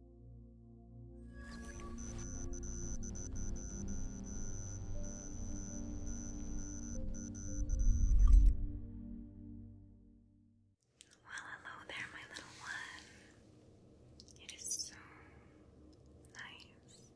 Well, hello there, my little one. It is so nice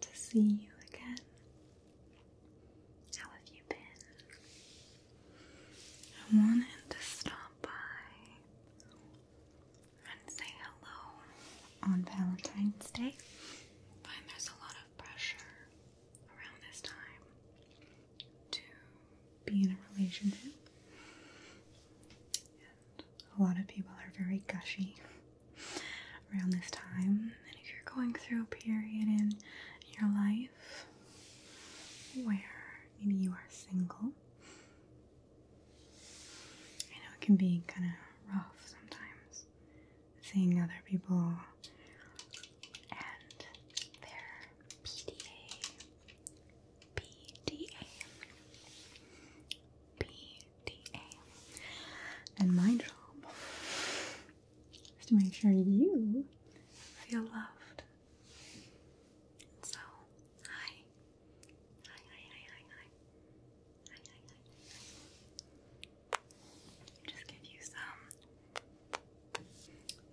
to see you again. How have you been? I wanted to stop by and say hello on Valentine's Day. I there's a lot of pressure around this time to be in a relationship, and a lot of people are very gushy around this time. And if you're going through a period in your life where maybe you are single I know it can be kind of rough sometimes seeing other people and their PDA, PDA, PDA, and my job is to make sure you feel loved so, hi. Hi, hi, hi, hi, hi. Hi, hi, hi, Just give you some.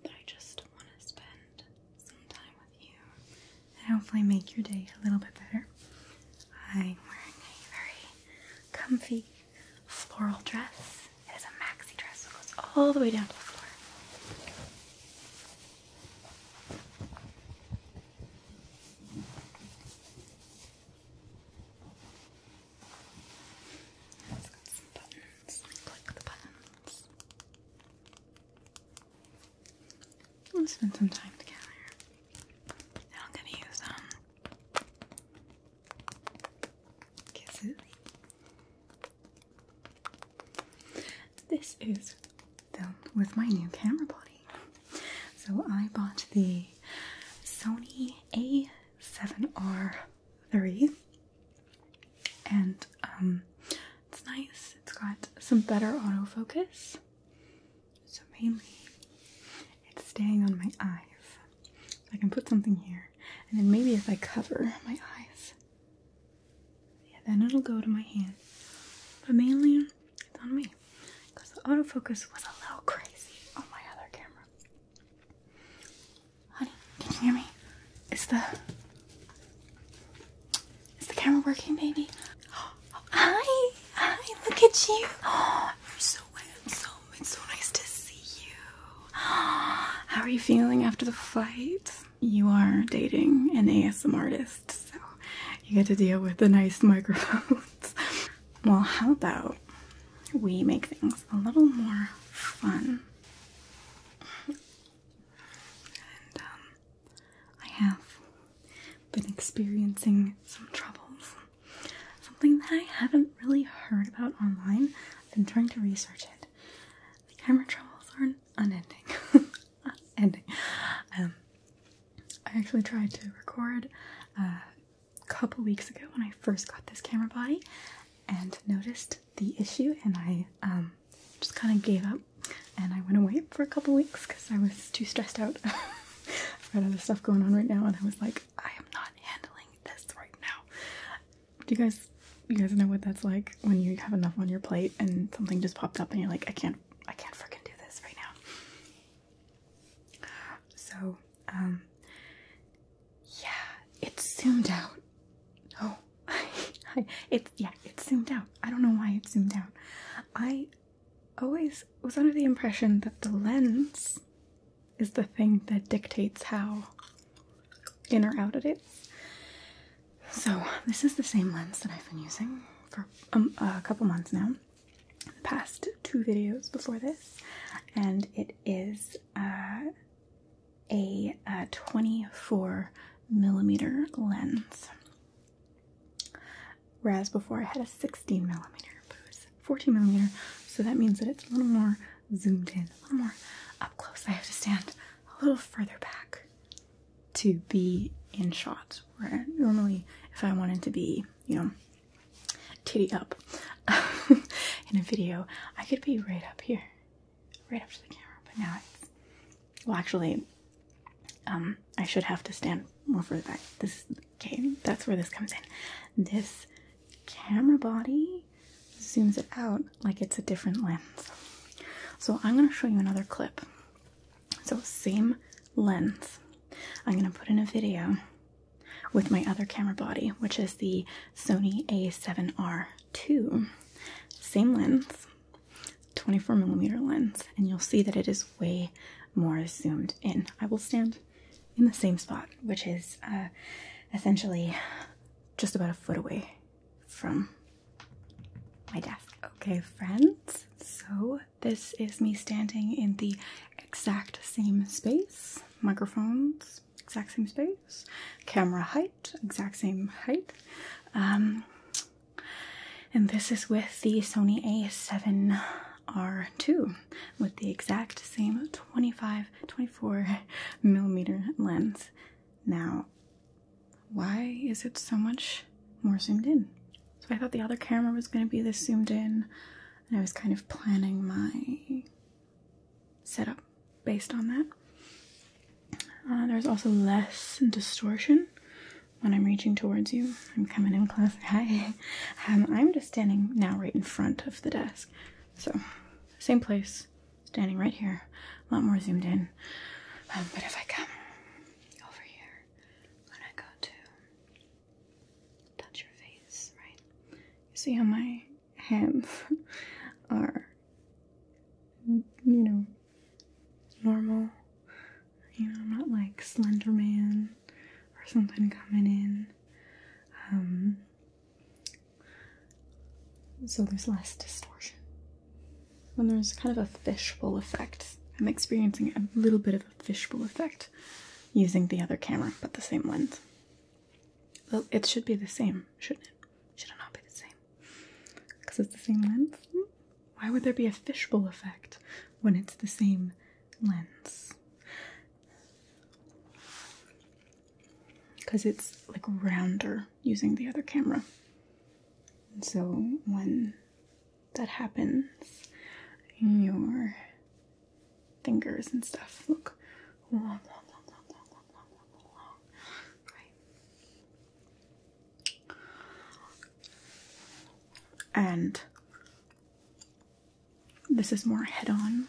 But I just want to spend some time with you and hopefully make your day a little bit better. I'm wearing a very comfy floral dress. It is a maxi dress that goes all the way down to the floor. It's got Click the buttons. We'll spend some time together. Now I'm gonna use um kisses. This is with my new camera body. So I bought the Sony A7R III, and um, it's nice. It's got some better autofocus, so mainly it's staying on my eyes. So I can put something here, and then maybe if I cover my eyes, yeah, then it'll go to my hand. But mainly, it's on me. Because the autofocus was a little crazy on my other camera. Honey, can you hear me? Is the... Is the camera working, baby? Oh, hi! Hi, look at you! you're so handsome. It's so nice to see you. How are you feeling after the flight? you are dating an ASM artist, so you get to deal with the nice microphones. well, how about we make things a little more fun? Um, I have been experiencing some troubles. Something that I haven't really heard about online. I've been trying to research it camera troubles are unending. Ending. Um, I actually tried to record a uh, couple weeks ago when I first got this camera body and noticed the issue, and I um, just kind of gave up and I went away for a couple weeks because I was too stressed out. I've got other stuff going on right now, and I was like, I am not handling this right now. Do you guys you guys know what that's like when you have enough on your plate and something just popped up and you're like, I can't I can't fricking do this right now. So, um yeah, it's zoomed out. Oh, it's yeah, it's zoomed out. I don't know why it zoomed out. I always was under the impression that the lens is the thing that dictates how in or out it is. So, this is the same lens that I've been using for um, a couple months now. The past two videos before this, and it is uh, a, a uh, 24 millimeter lens. Whereas before I had a 16 millimeter, but it was 14 millimeter, so that means that it's a little more zoomed in, a little more up close. I have to stand a little further back to be in shots. where normally if I wanted to be, you know, titty up in a video, I could be right up here, right up to the camera, but now it's, well actually, um, I should have to stand more further back. This, okay, that's where this comes in. This camera body zooms it out like it's a different lens. So I'm going to show you another clip. So same lens. I'm going to put in a video with my other camera body, which is the Sony a7R II. Same lens, 24 millimeter lens, and you'll see that it is way more zoomed in. I will stand in the same spot, which is uh, essentially just about a foot away from my desk. Okay, friends, so this is me standing in the exact same space. Microphones, exact same space. Camera height, exact same height. Um, and this is with the Sony a7R2 with the exact same 25, 24 millimeter lens. Now, why is it so much more zoomed in? So I thought the other camera was going to be this zoomed in, and I was kind of planning my setup based on that. Uh, there's also less distortion when I'm reaching towards you. I'm coming in close. Hi. Um, I'm just standing now right in front of the desk. So, same place, standing right here, a lot more zoomed in. Um, but if I come over here, i go to touch your face, right? You see how my hands are, you know, normal. You know, I'm not like Slender Man or something coming in. Um, so there's less distortion. When there's kind of a fishbowl effect, I'm experiencing a little bit of a fishbowl effect using the other camera but the same lens. Well, it should be the same, shouldn't it? Should it not be the same? Because it's the same lens? Why would there be a fishbowl effect when it's the same lens? because it's like rounder using the other camera. And so when that happens, your fingers and stuff look long, long, long, long, long, long, long, long, long, right? And this is more head on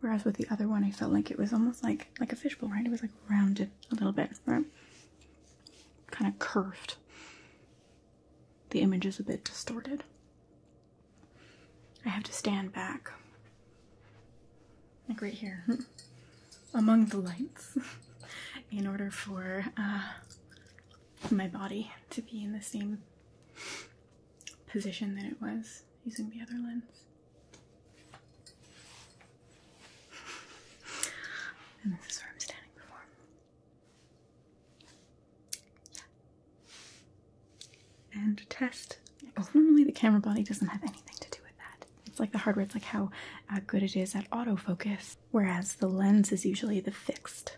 Whereas with the other one, I felt like it was almost like like a fishbowl, right? It was like rounded a little bit, right? Kind of curved. The image is a bit distorted. I have to stand back, like right here, among the lights, in order for uh, my body to be in the same position that it was using the other lens. And this is where I'm standing before. Yeah. And test. normally the camera body doesn't have anything to do with that. It's like the hardware, it's like how uh, good it is at autofocus, whereas the lens is usually the fixed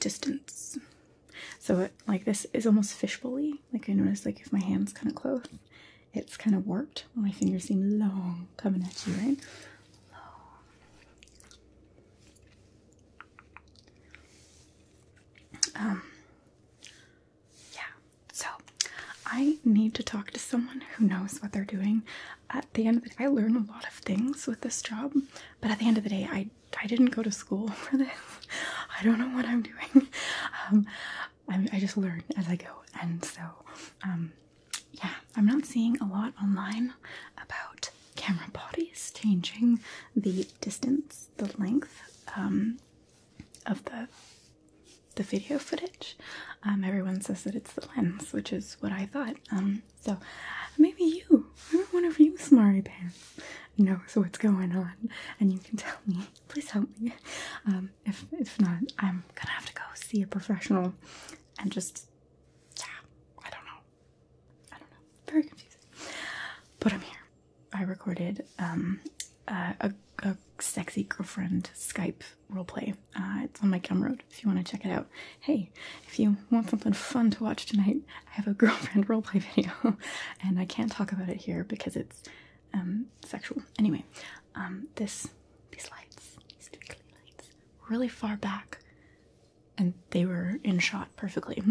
distance. So like this is almost fishbowl Like I noticed like if my hand's kind of close, it's kind of warped. My fingers seem long coming at you, right? Um, yeah. So I need to talk to someone who knows what they're doing. At the end of the day, I learn a lot of things with this job, but at the end of the day, I I didn't go to school for this. I don't know what I'm doing. Um, I, just learn as I go, and so um, yeah, I'm not seeing a lot online about camera bodies changing the distance, the length um, of the the video footage. everyone says that it's the lens, which is what I thought. so maybe you, I want to you Smarty Pants knows what's going on and you can tell me please help me um, if, if not i'm gonna have to go see a professional and just yeah i don't know i don't know very confusing but i'm here i recorded um, a, a sexy girlfriend skype roleplay uh, it's on my camroad if you want to check it out hey if you want something fun to watch tonight I have a girlfriend roleplay video, and I can't talk about it here because it's um, sexual. Anyway, um, this these lights, these twinkly lights, really far back, and they were in shot perfectly.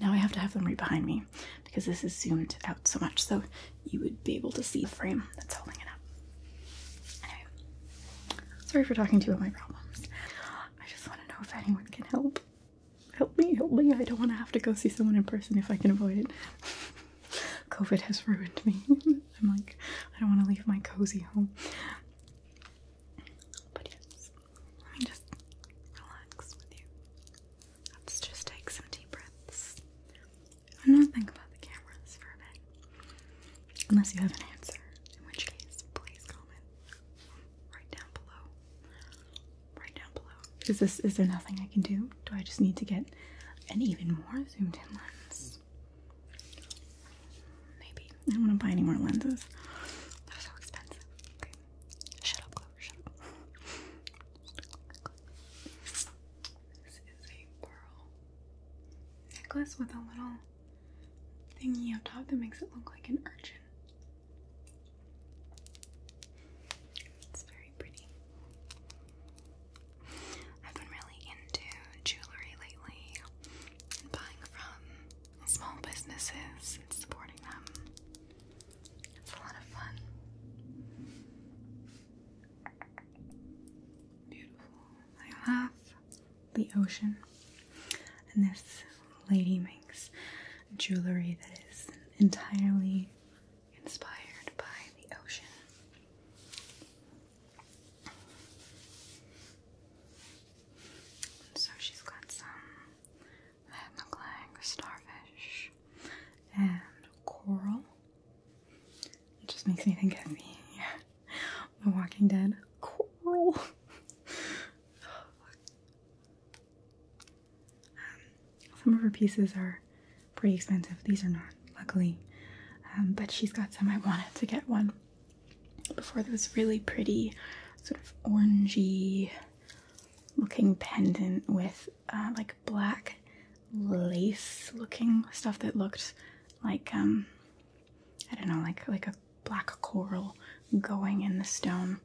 Now I have to have them right behind me because this is zoomed out so much, so you would be able to see the frame that's holding it up. Anyway, sorry for talking too you about my problems. I just want to know if anyone can help help me, help me. I don't want to have to go see someone in person if I can avoid it. COVID has ruined me. I'm like, I don't want to leave my cozy home. But yes, let me just relax with you. Let's just take some deep breaths. i not think about the cameras for a bit. Unless you have an answer, in which case, please comment right down below. Right down below. Is this is there nothing I can do? Do I just need to get an even more zoomed in lens? Maybe. I don't want to buy any more lenses. they so expensive. Okay. Shut up, Clover, shut up. This is a pearl necklace with a little thingy on top that makes it look like an urchin. It's very pretty. I've been really into jewelry lately and buying from small businesses and supporting them. It's a lot of fun. Beautiful. I have the ocean. And this lady makes jewelry that is entirely inspired by the ocean. And so she's got some that look like starfish and coral. It just makes me think of the Walking Dead coral. Oh, um, some of her pieces are pretty expensive. These are not, luckily. Um, but she's got some. I wanted to get one before this really pretty, sort of orangey looking pendant with uh, like black lace looking stuff that looked like um, I don't know like like a black coral going in the stone.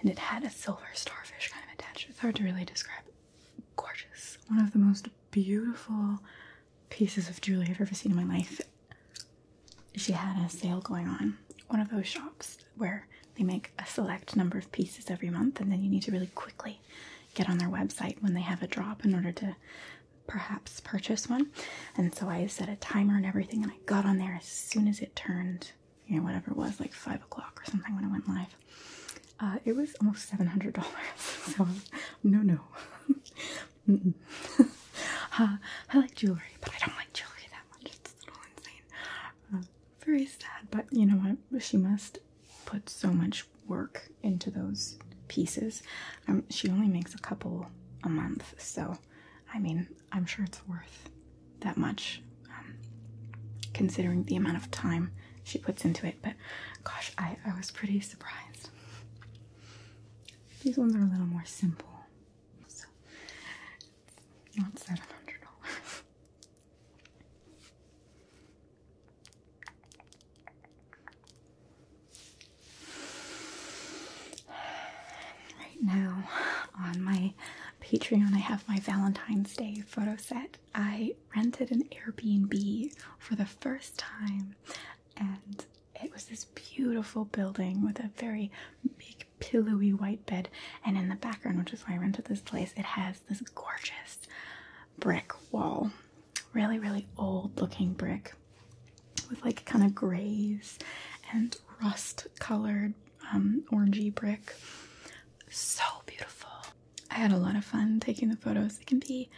And it had a silver starfish kind of attached. It's hard to really describe. Gorgeous. One of the most beautiful pieces of jewelry I've ever seen in my life. She had a sale going on. One of those shops where they make a select number of pieces every month, and then you need to really quickly get on their website when they have a drop in order to perhaps purchase one. And so I set a timer and everything, and I got on there as soon as it turned, you know, whatever it was, like five o'clock or something when I went live. Uh, it was almost seven hundred dollars. So no, no. Uh, I like jewelry, but I don't like jewelry that much. It's a little insane. Uh, very sad, but you know what? She must put so much work into those pieces. Um, she only makes a couple a month, so I mean, I'm sure it's worth that much, um, considering the amount of time she puts into it. But gosh, I, I was pretty surprised. These ones are a little more simple. So not $700. Right now, on my Patreon, I have my Valentine's Day photo set. I rented an Airbnb for the first time, and it was this beautiful building with a very big, pillowy white bed. And in the background, which is why I rented this place, it has this gorgeous brick wall. Really, really old looking brick with like kind of grays and rust colored um, orangey brick. So beautiful. I had a lot of fun taking the photos. It can be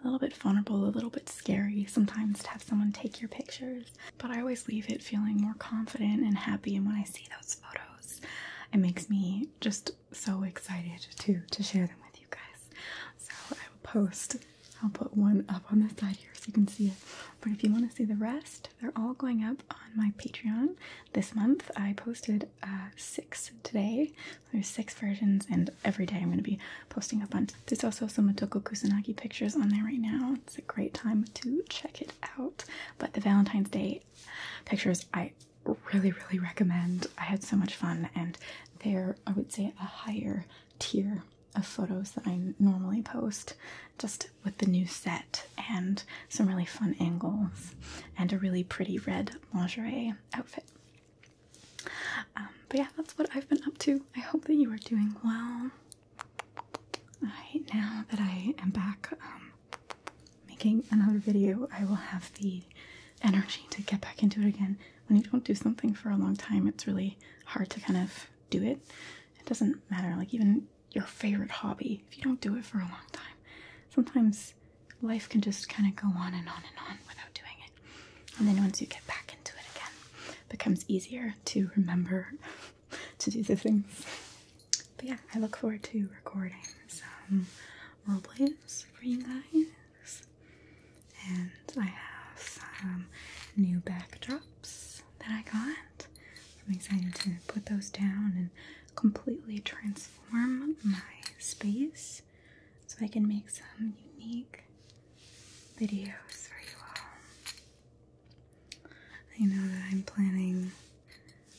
a little bit vulnerable, a little bit scary sometimes to have someone take your pictures, but I always leave it feeling more confident and happy. And when I see those photos, it makes me just so excited to to share them with you guys. So I will post I'll put one up on the side here so you can see it. But if you want to see the rest, they're all going up on my Patreon this month. I posted uh, six today. There's six versions, and every day I'm going to be posting a bunch. There's also some Motoko Kusanagi pictures on there right now. It's a great time to check it out. But the Valentine's Day pictures, I really, really recommend. I had so much fun, and they're, I would say, a higher tier of photos that I normally post, just with the new set and some really fun angles and a really pretty red lingerie outfit. Um, but yeah, that's what I've been up to. I hope that you are doing well. now that I am back um, making another video, I will have the energy to get back into it again when you don't do something for a long time, it's really hard to kind of do it. It doesn't matter, like even your favorite hobby, if you don't do it for a long time, sometimes life can just kind of go on and on and on without doing it. And then once you get back into it again, it becomes easier to remember to do the things. But yeah, I look forward to recording some role plays for you guys. And I have some um, new backdrops that I got. I'm excited to put those down and completely transform my space so I can make some unique videos for you all. I know that I'm planning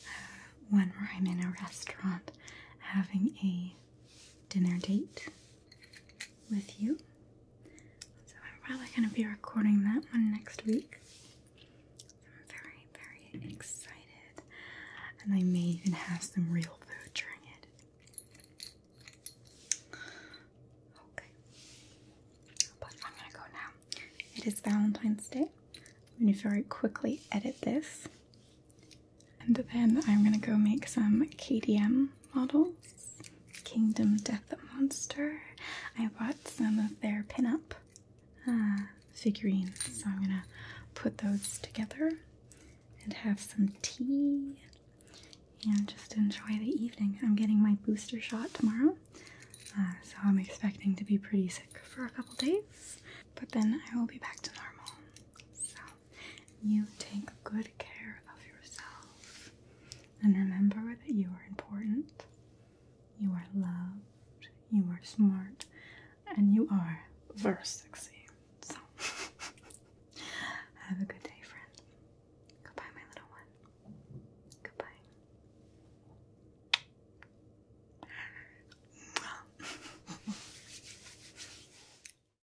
uh, one where I'm in a restaurant having a dinner date with you. So I'm probably going to be recording that one next week. I'm very, very excited. And I may even have some real food during it. Okay. But I'm going to go now. It is Valentine's Day. I'm going to very quickly edit this. And then I'm gonna go make some KDM models. Kingdom Death Monster. I bought some of their pinup uh, figurines, so I'm gonna put those together and have some tea and just enjoy the evening. I'm getting my booster shot tomorrow, uh, so I'm expecting to be pretty sick for a couple days, but then I will be back to normal. So you take good care of yourself. And remember that you are important, you are loved, you are smart, and you are very sexy. So, have a good day, friend. Goodbye, my little one. Goodbye.